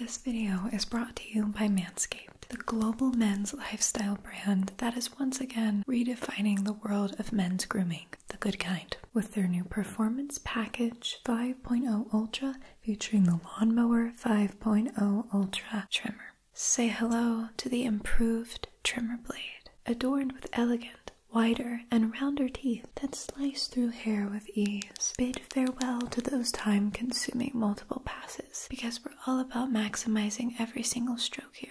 This video is brought to you by Manscaped, the global men's lifestyle brand that is once again redefining the world of men's grooming, the good kind, with their new Performance Package 5.0 Ultra featuring the Lawnmower 5.0 Ultra trimmer. Say hello to the improved trimmer blade, adorned with elegant, wider, and rounder teeth that slice through hair with ease, farewell to those time consuming multiple passes because we're all about maximizing every single stroke here.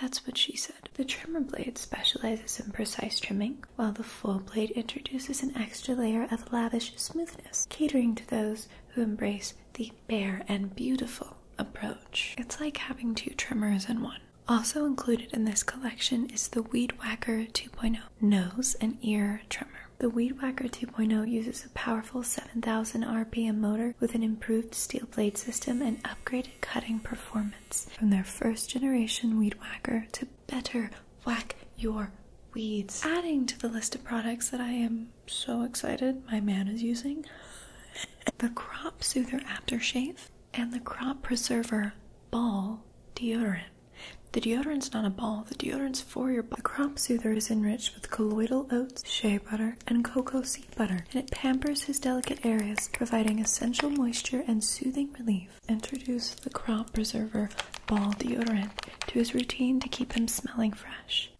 That's what she said. The trimmer blade specializes in precise trimming, while the full blade introduces an extra layer of lavish smoothness, catering to those who embrace the bare and beautiful approach. It's like having two trimmers in one. Also included in this collection is the Weed Whacker 2.0 nose and ear trimmer. The Weed Whacker 2.0 uses a powerful 7,000 RPM motor with an improved steel blade system and upgraded cutting performance from their first generation Weed Whacker to better whack your weeds. Adding to the list of products that I am so excited my man is using the Crop Soother Aftershave and the Crop Preserver Ball Deodorant. The deodorant's not a ball, the deodorant's for your The crop soother is enriched with colloidal oats, shea butter, and cocoa seed butter, and it pampers his delicate areas, providing essential moisture and soothing relief. Introduce the crop preserver ball deodorant to his routine to keep him smelling fresh.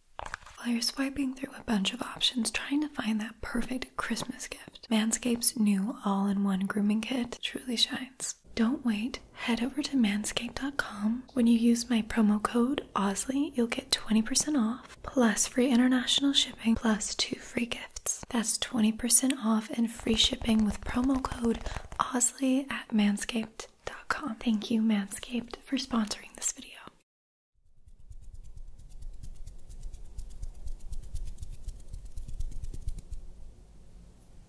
While you're swiping through a bunch of options trying to find that perfect Christmas gift, Manscaped's new all in one grooming kit truly shines. Don't wait, head over to manscaped.com. When you use my promo code OSLEY, you'll get 20% off, plus free international shipping, plus two free gifts. That's 20% off and free shipping with promo code OSLEY at manscaped.com. Thank you, Manscaped, for sponsoring this video.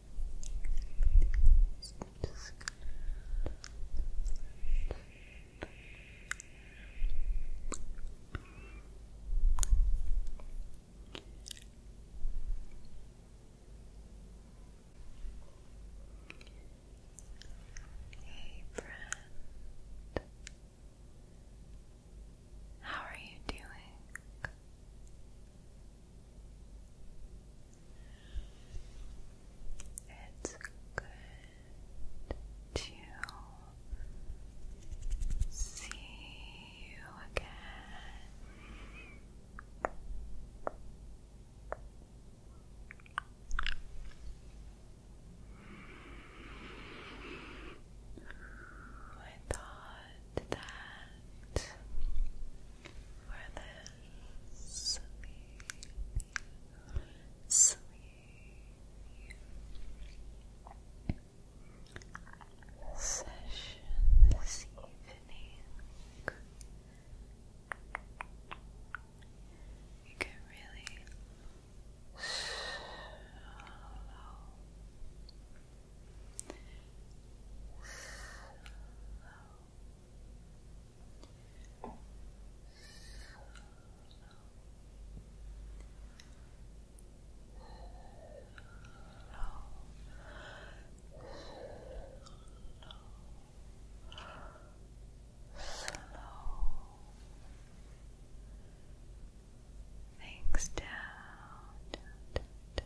Hey, friend, how are you doing? It's good to see you again. I thought that for sleep, Session this evening. You can really slow Things down, down, down,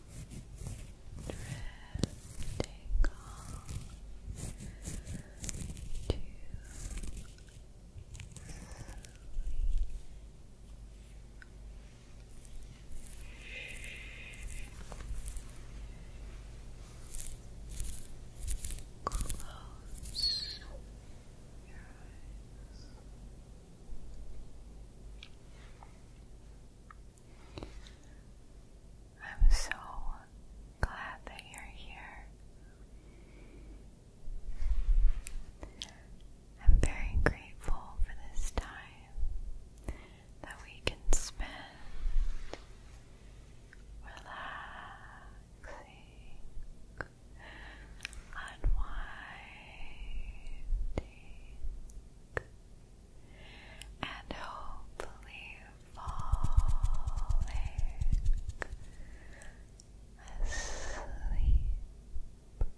drifting off to Close your eyes. I'm so glad that you're here. I'm very grateful for this time that we can spend relaxing, unwinding, and hopefully falling asleep. Asleep.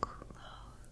Close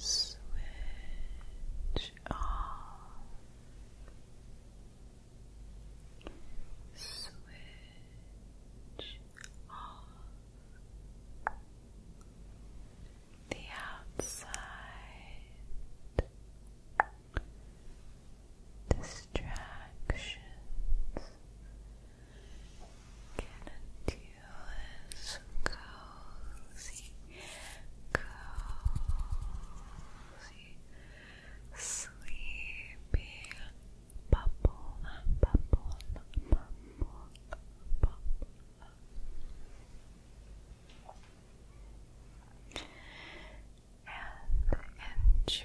So let's switch off. Switch off the outside distractions. Get into this cozy, cozy sleepy bubble, bubble, bubble, bubble. And enjoy.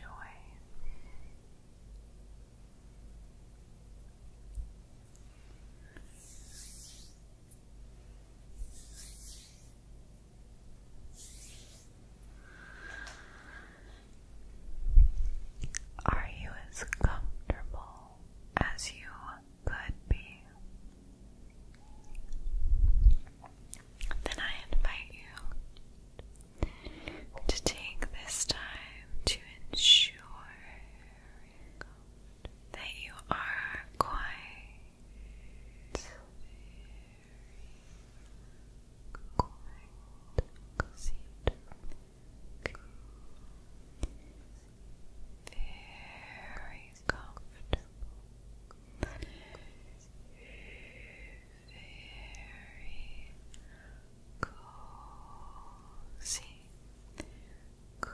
Are you as comfortable as you could be? Then I invite you to take this time to ensure that you are quiet very comfortable, very cozy, cozy,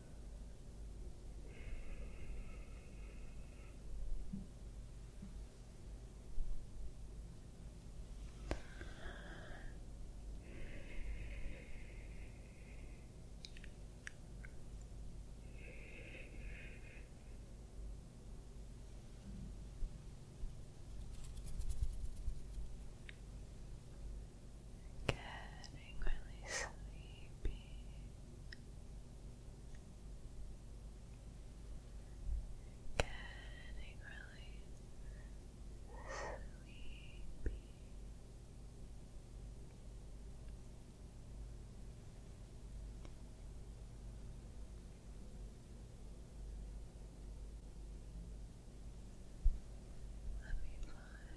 Getting really sleepy. Getting really sleepy. Let me fly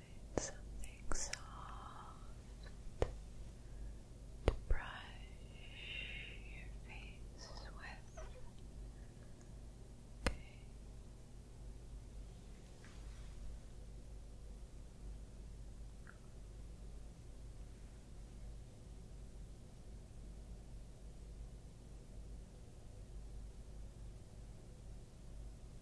find something soft to brush your face with.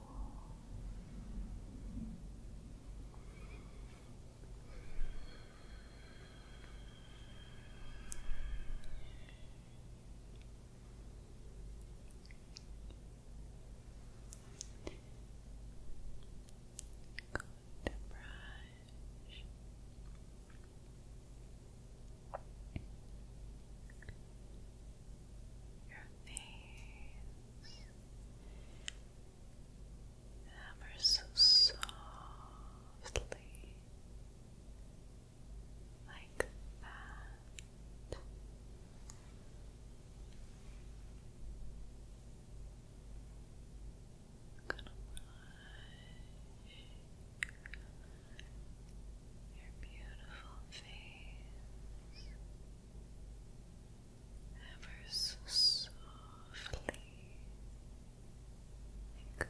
Good brush. Your face ever so softly, like that. gonna wash your beautiful face ever so softly like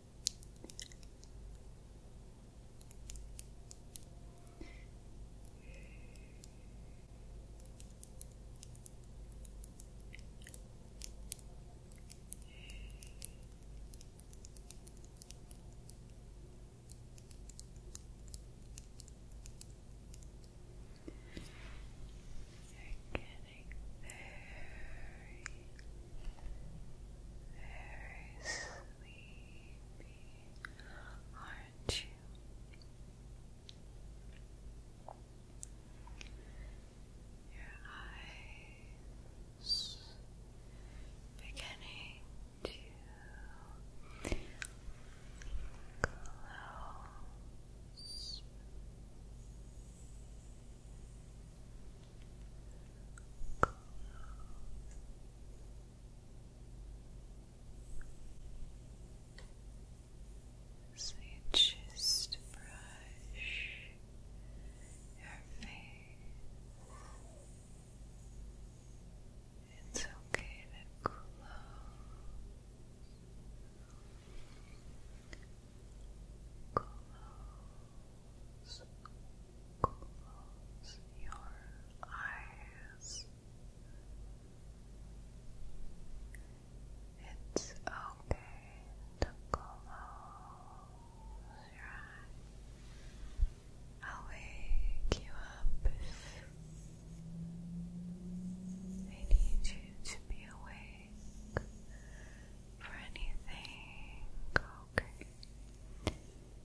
They're getting very, very sleepy, aren't you? Your eyes beginning to close. Close. you just brush your face. It's okay to Close. Close. Close your eyes. It's okay to close your eyes. I'll wake you up if I need you to be awake for anything, okay?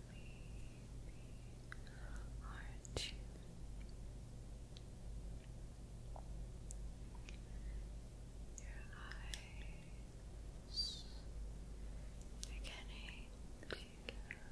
sleepy, aren't you? Your eyes are getting Close.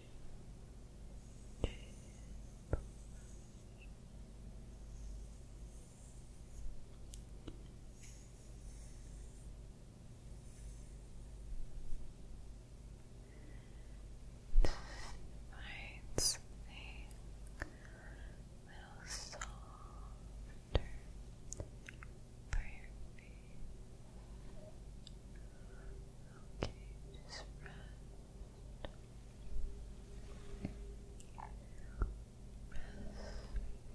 to brush. a little softer for your feet. Okay, just rest. Rest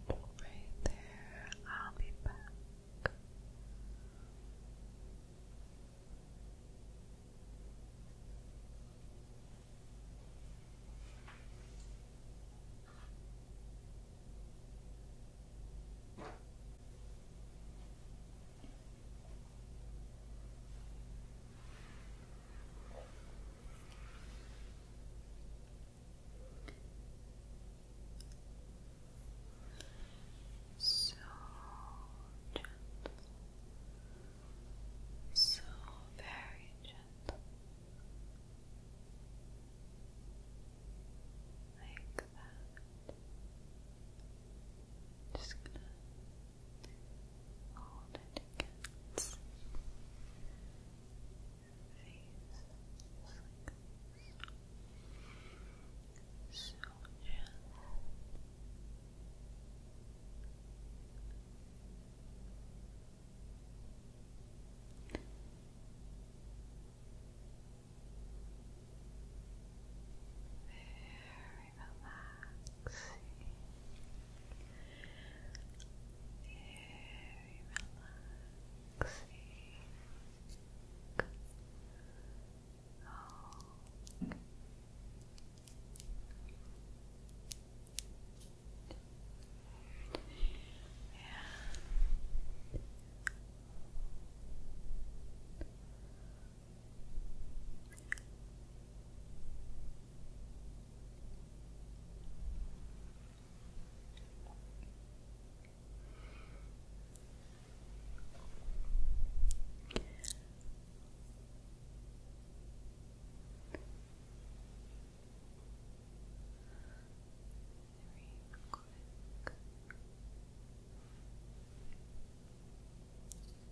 right there. I'll be back. So gentle, so very gentle, like that. Just gonna all dedicates, these soldiers, very relaxing. Very relaxing. Oh. And very quick.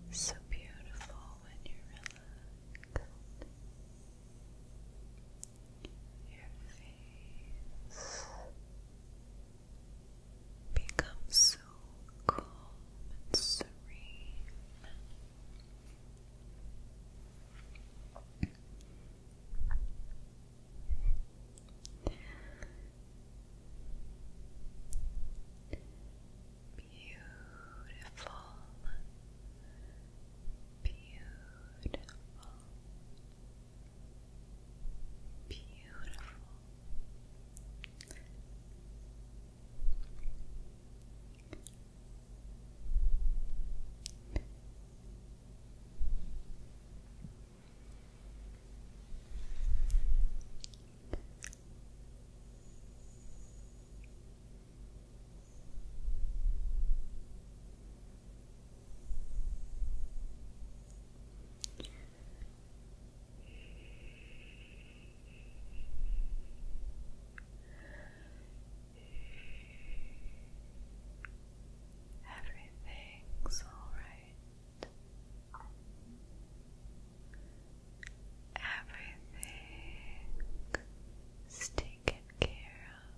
You look so beautiful when you're relaxed your face becomes so calm and serene. Beautiful, Beautiful, beautiful. Now Everything's all right. Everything taken care of.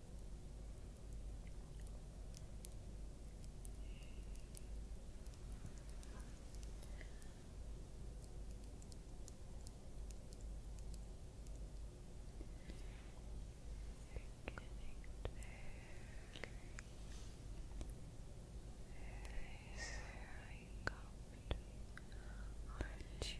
Very, very comfortable, aren't you?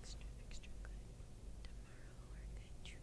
Extra, extra good. Tomorrow we're going to treat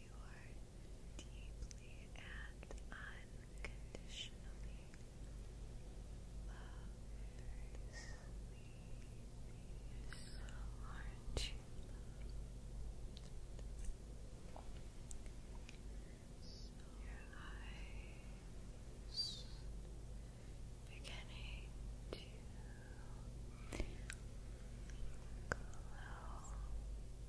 you are deeply and unconditionally loved. Aren't you your eyes beginning to close.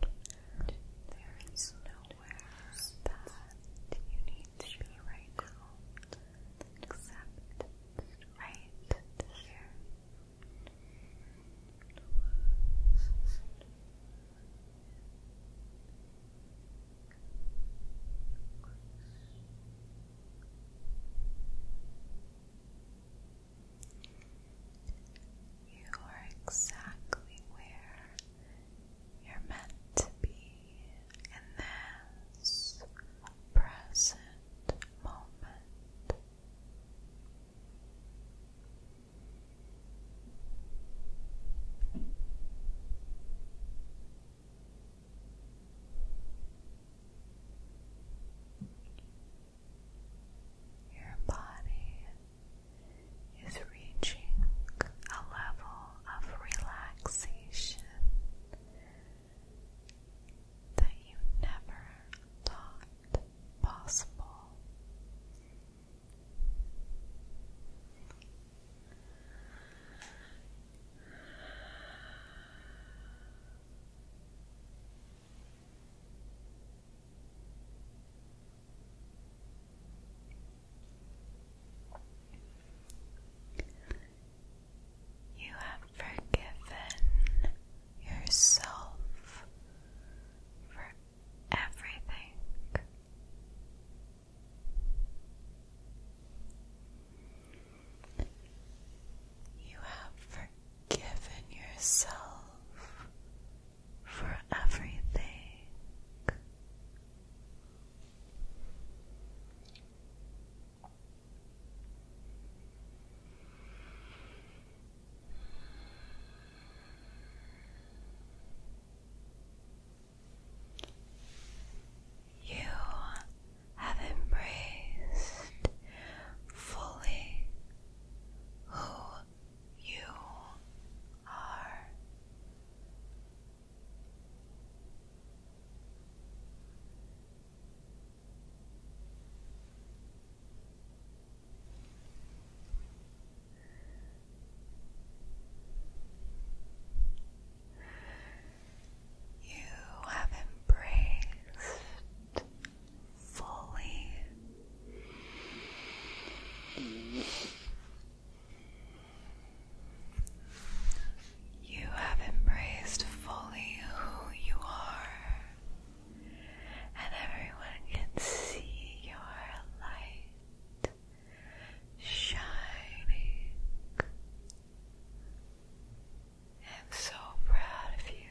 There is nowhere that you need to be right now, except right here. You are exactly where you're meant to be in this present moment. Your body is reaching a level of relaxation that you never thought possible. You have forgiven yourself for everything. You have forgiven yourself for everything. You have embraced fully who you are. You have embraced fully you have embraced fully who you are, and everyone can see your light shining. I'm so proud of you.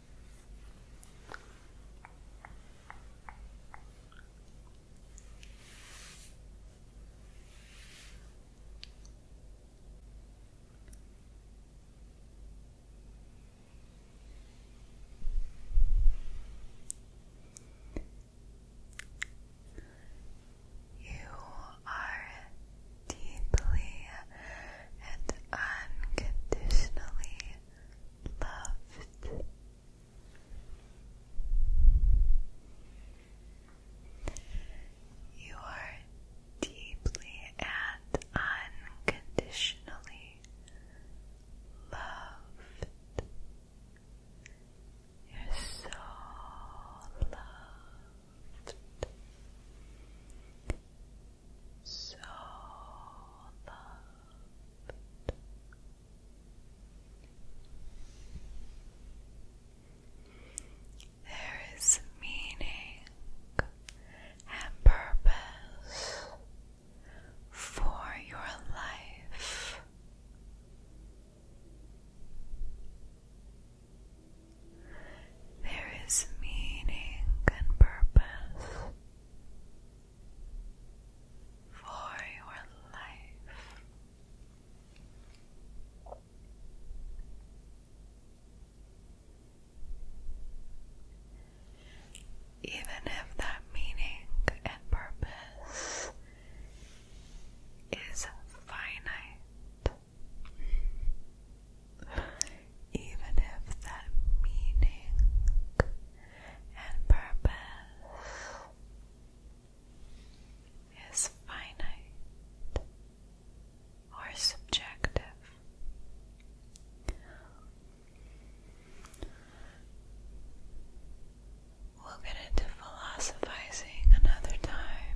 You are deeply and unconditionally loved. You are deeply and unconditionally loved. You're so loved so loved. There is meaning and purpose for your life. There is meaning and purpose for your life. Even if that meaning and purpose is finite, even if that meaning and purpose is finite or subjective. We'll get into philosophizing another time.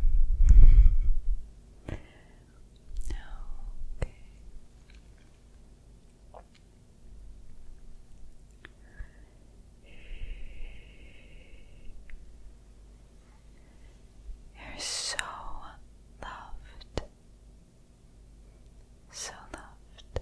You're so loved, so loved.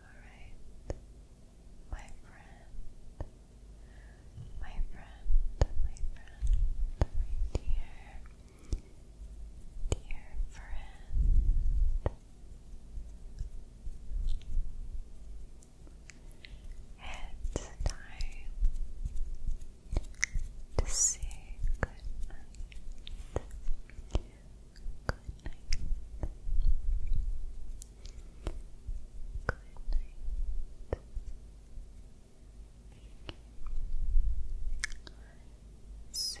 Alright, my friend, my friend, my friend, my dear, dear friend. It's time to say good night. Good night. Good night. So,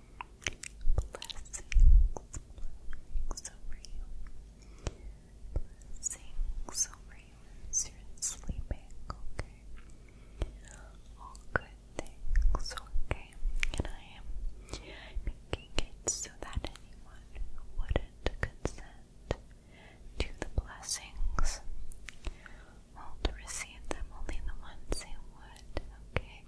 blessings over you. Blessings over you you're sleeping, okay? All good things, okay? And I am making it so that anyone wouldn't consent to the blessings will receive them, only the ones who would, okay?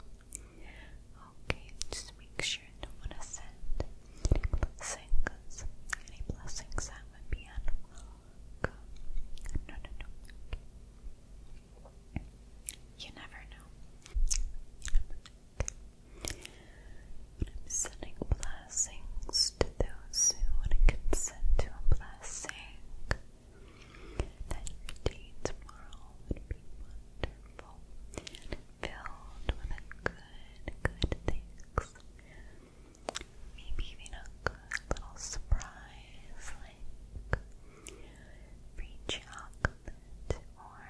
Okay, just make sure you don't want to send blessings, any blessings that would be unwelcome. No, no, no. You never know. sending blessings to those who would consent to a blessing that your day tomorrow would be wonderful filled with good, good things. Maybe even a good little surprise like free chocolate or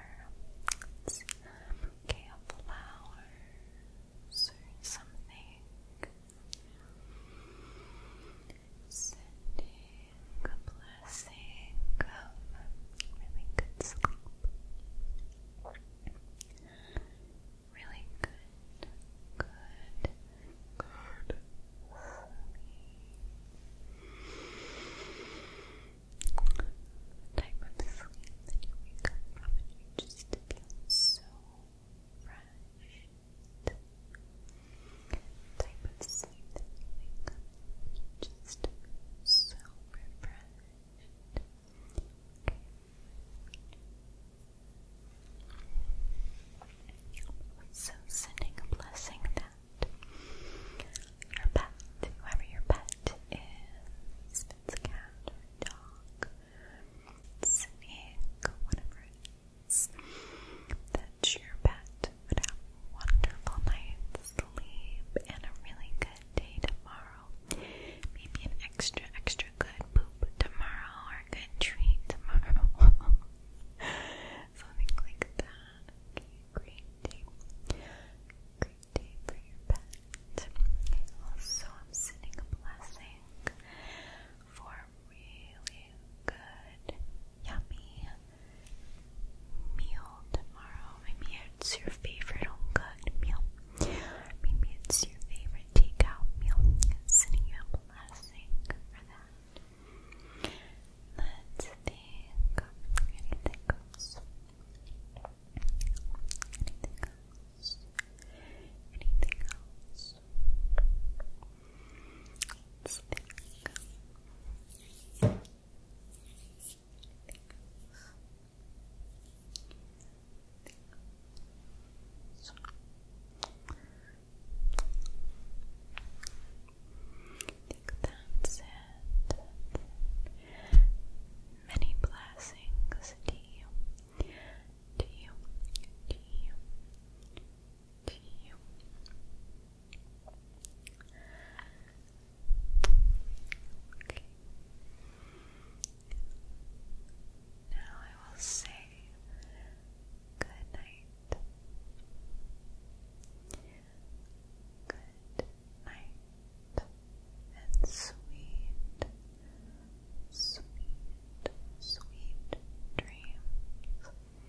some flowers or something sending a blessing of really good sleep. Really good, good, good type of sleep that you wake from and you just feel so fresh type of sleep that you just so refreshed. So sending a blessing that your pet, whoever your pet is, if cat or a dog, snake, whatever it promise that your pet would have a wonderful night's sleep and a really good day tomorrow. Maybe an extra, extra good poop tomorrow or a good treat tomorrow. Something like that. Okay, great day. Great day for your pet. Also, I'm sending a blessing for really good, yummy meal tomorrow. Maybe it's your favorite home cooked meal. Maybe it's your favorite takeout meal. It's sending you a blessing for that. Let's think anything else. Anything else? Anything else? Let's think that's it. Many blessings to you, to you, to you, to you. Now I will say good night. Good night and sweet, sweet, sweet dreams.